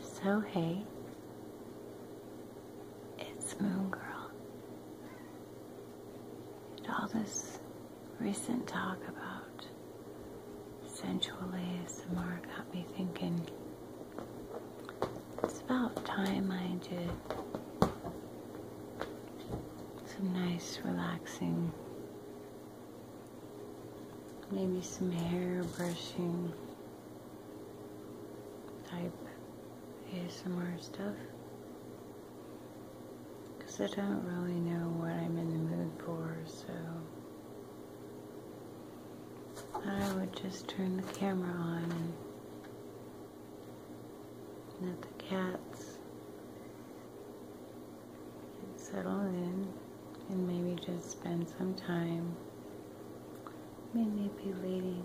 So, hey, it's Moon Girl. all this recent talk about sensual ASMR got me thinking it's about time I did some nice, relaxing maybe some hair brushing type ASMR stuff because I don't really know what I'm in the mood for so I would just turn the camera on and let the cats settle in and maybe just spend some time manipulating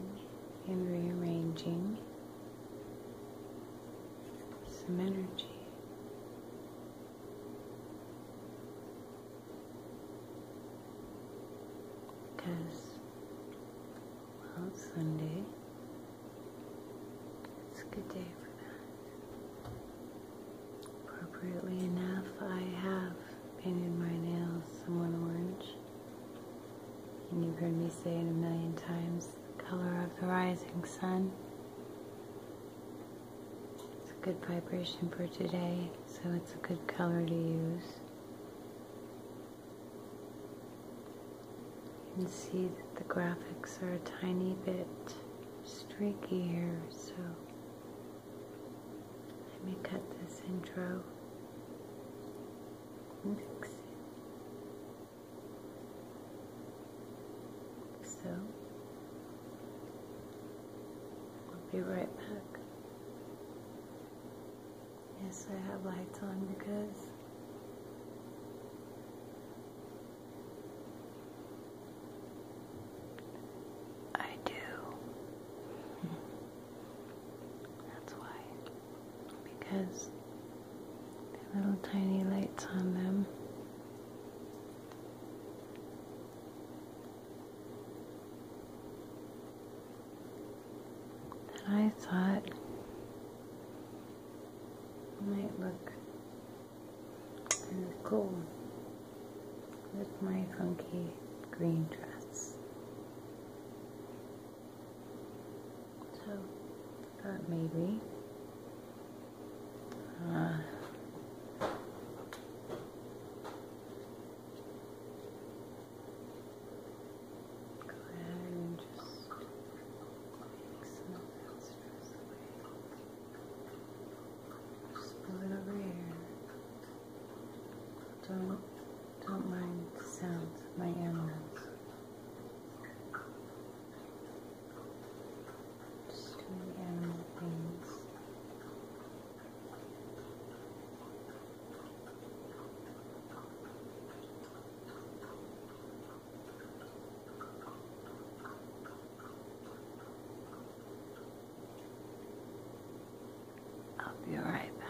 and rearranging some energy. Because, well, it's Sunday. It's a good day for that. Appropriately enough, I have painted my nails somewhat orange. And you've heard me say it a million times, the color of the rising sun. It's a good vibration for today, so it's a good color to use. You can see that the graphics are a tiny bit streaky here, so let me cut this intro and So, I'll be right back. Yes, I have lights on because I do. That's why. Because they little tiny lights on them. I thought might look and cool with my funky green dress. So thought maybe uh, Just take some of that just put it over here. Don't don't mind the sounds my animals. Just doing animal things. I'll be right back.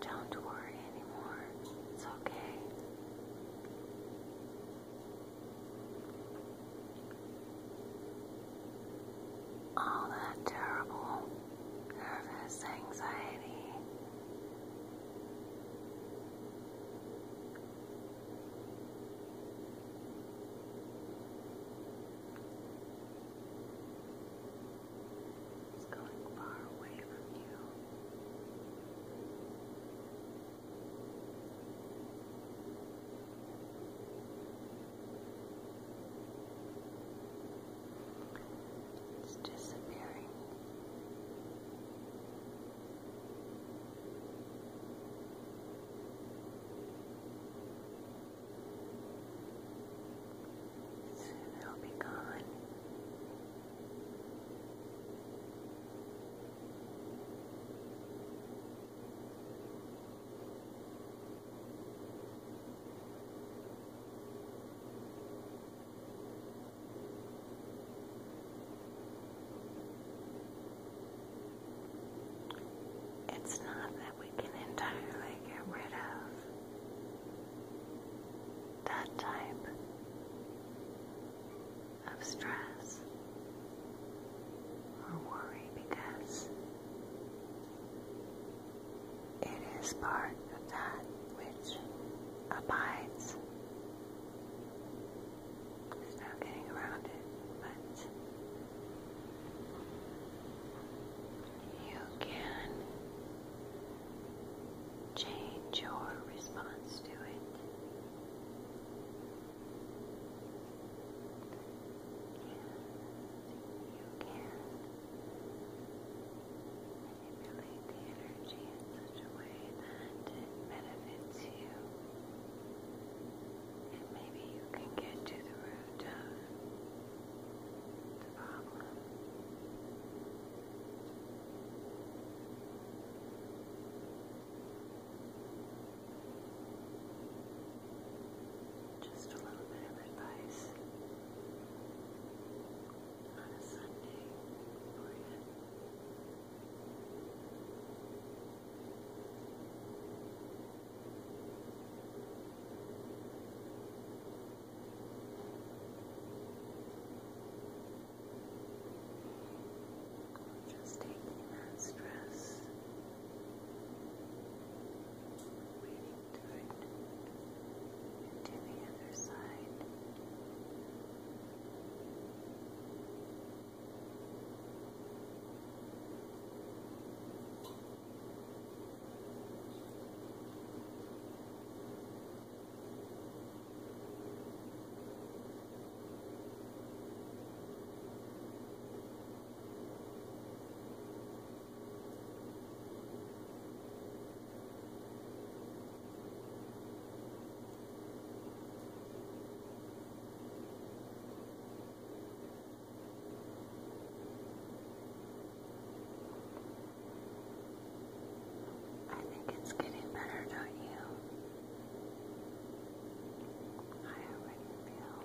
Don't worry anymore. It's okay. All that terrible nervous anxiety. It's going far away from you. It's disappearing. Soon it'll be gone. It's not that we can entirely get rid of that type of stress or worry because it is part of that which abides. There's no getting around it, but you can change your response to it. And you can Manipulate the energy in such a way that it benefits you. And maybe you can get to the root of the problem. Just a little bit of advice on a Sunday morning. Just taking that stress, waiting to it and to the other side. Now I think it's getting better, not you? I already feel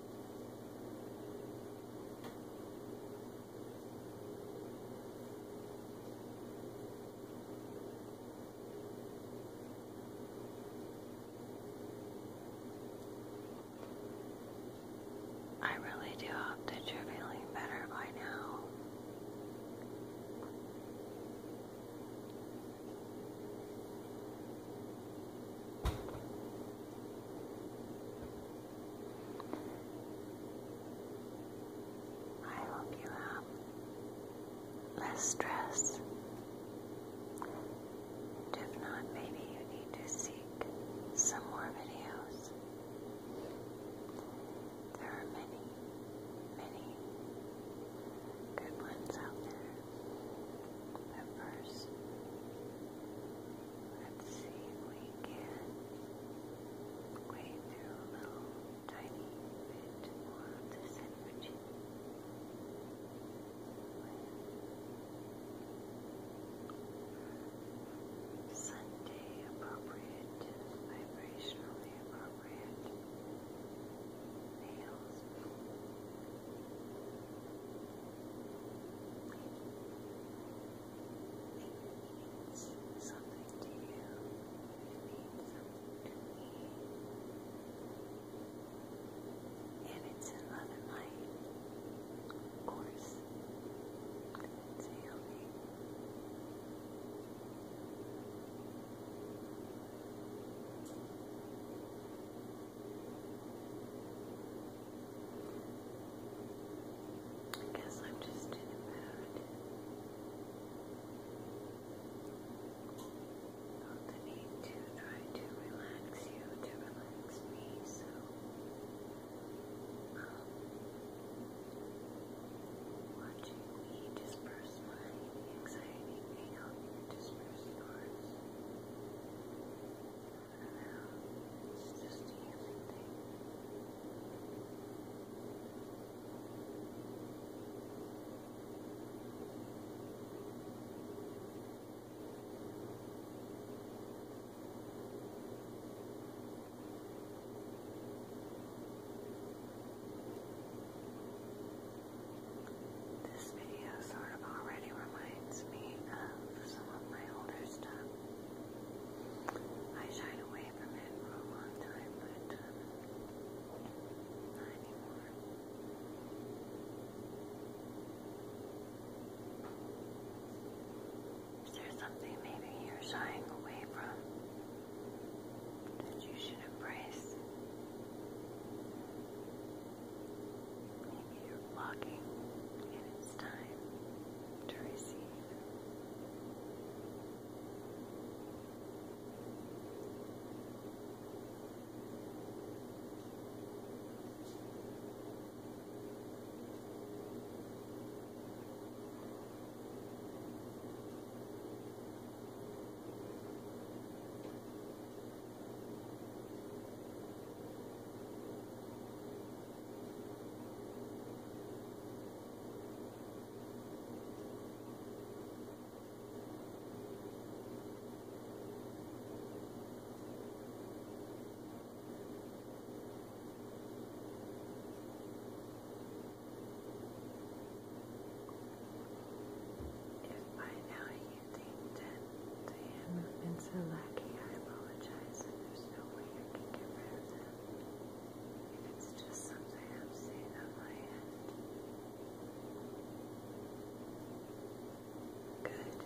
I really do hope that you're feeling better by now. I hope you have less stress. if not, maybe you need to seek some more videos. There are many, many good ones out there. But first, let's see if we can wade a little tiny bit of this energy. Sunday appropriate, vibrationally appropriate, nails. It means something to you. It means something to me. If it's another light, of course, it's healing. I I'm just too bad. Not need to try to relax you, to relax me, so um, watching me disperse my anxiety may help disperse first parts. And now it's just everything. Now this video sort of already reminds me of some of my older stuff. I shied away from it for a long time, but um, not anymore. Is there something maybe you're shying away from that you should embrace? Maybe you're blocking and it's time to receive. If by now you you think that the I apologize, there's no way I can get them. it's just something I'm seeing on my end. Good.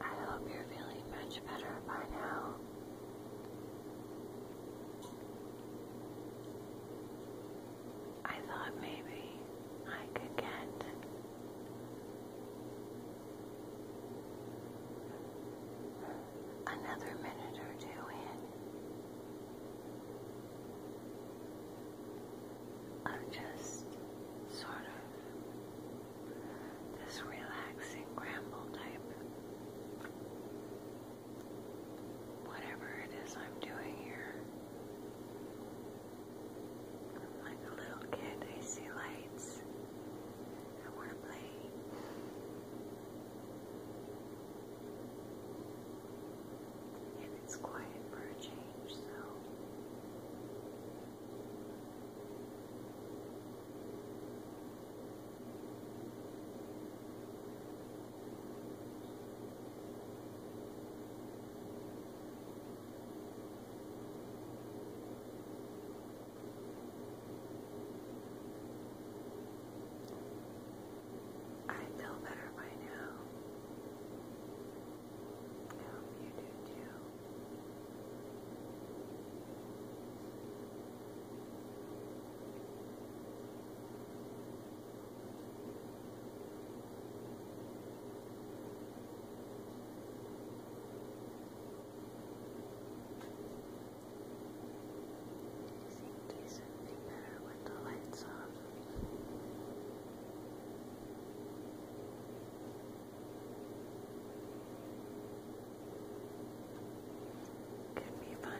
I hope you're feeling much better by now. I thought maybe I could get another minute or two in I'm just sort of this relaxing ramble type. Whatever it is I'm doing here. I'm like a little kid, I see lights. I want to play. It's quiet for a change, so I feel better by now. I hope you do too. You seem decently better with the lights off. Could be fun.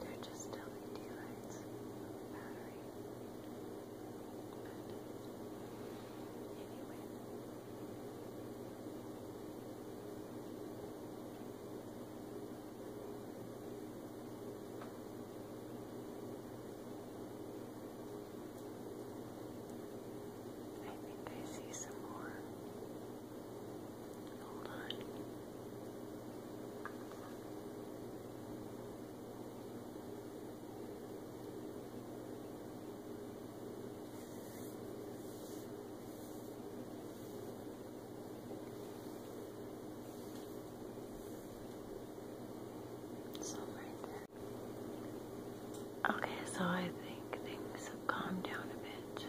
They're just LED lights, battery. But anyway, I think I see some more. Hold on. Okay, so I think things have calmed down a bit.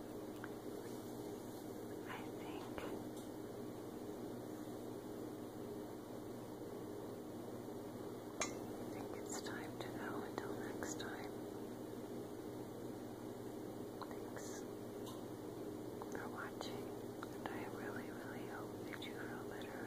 I think I think it's time to go until next time. Thanks for watching, and I really, really hope that you feel better.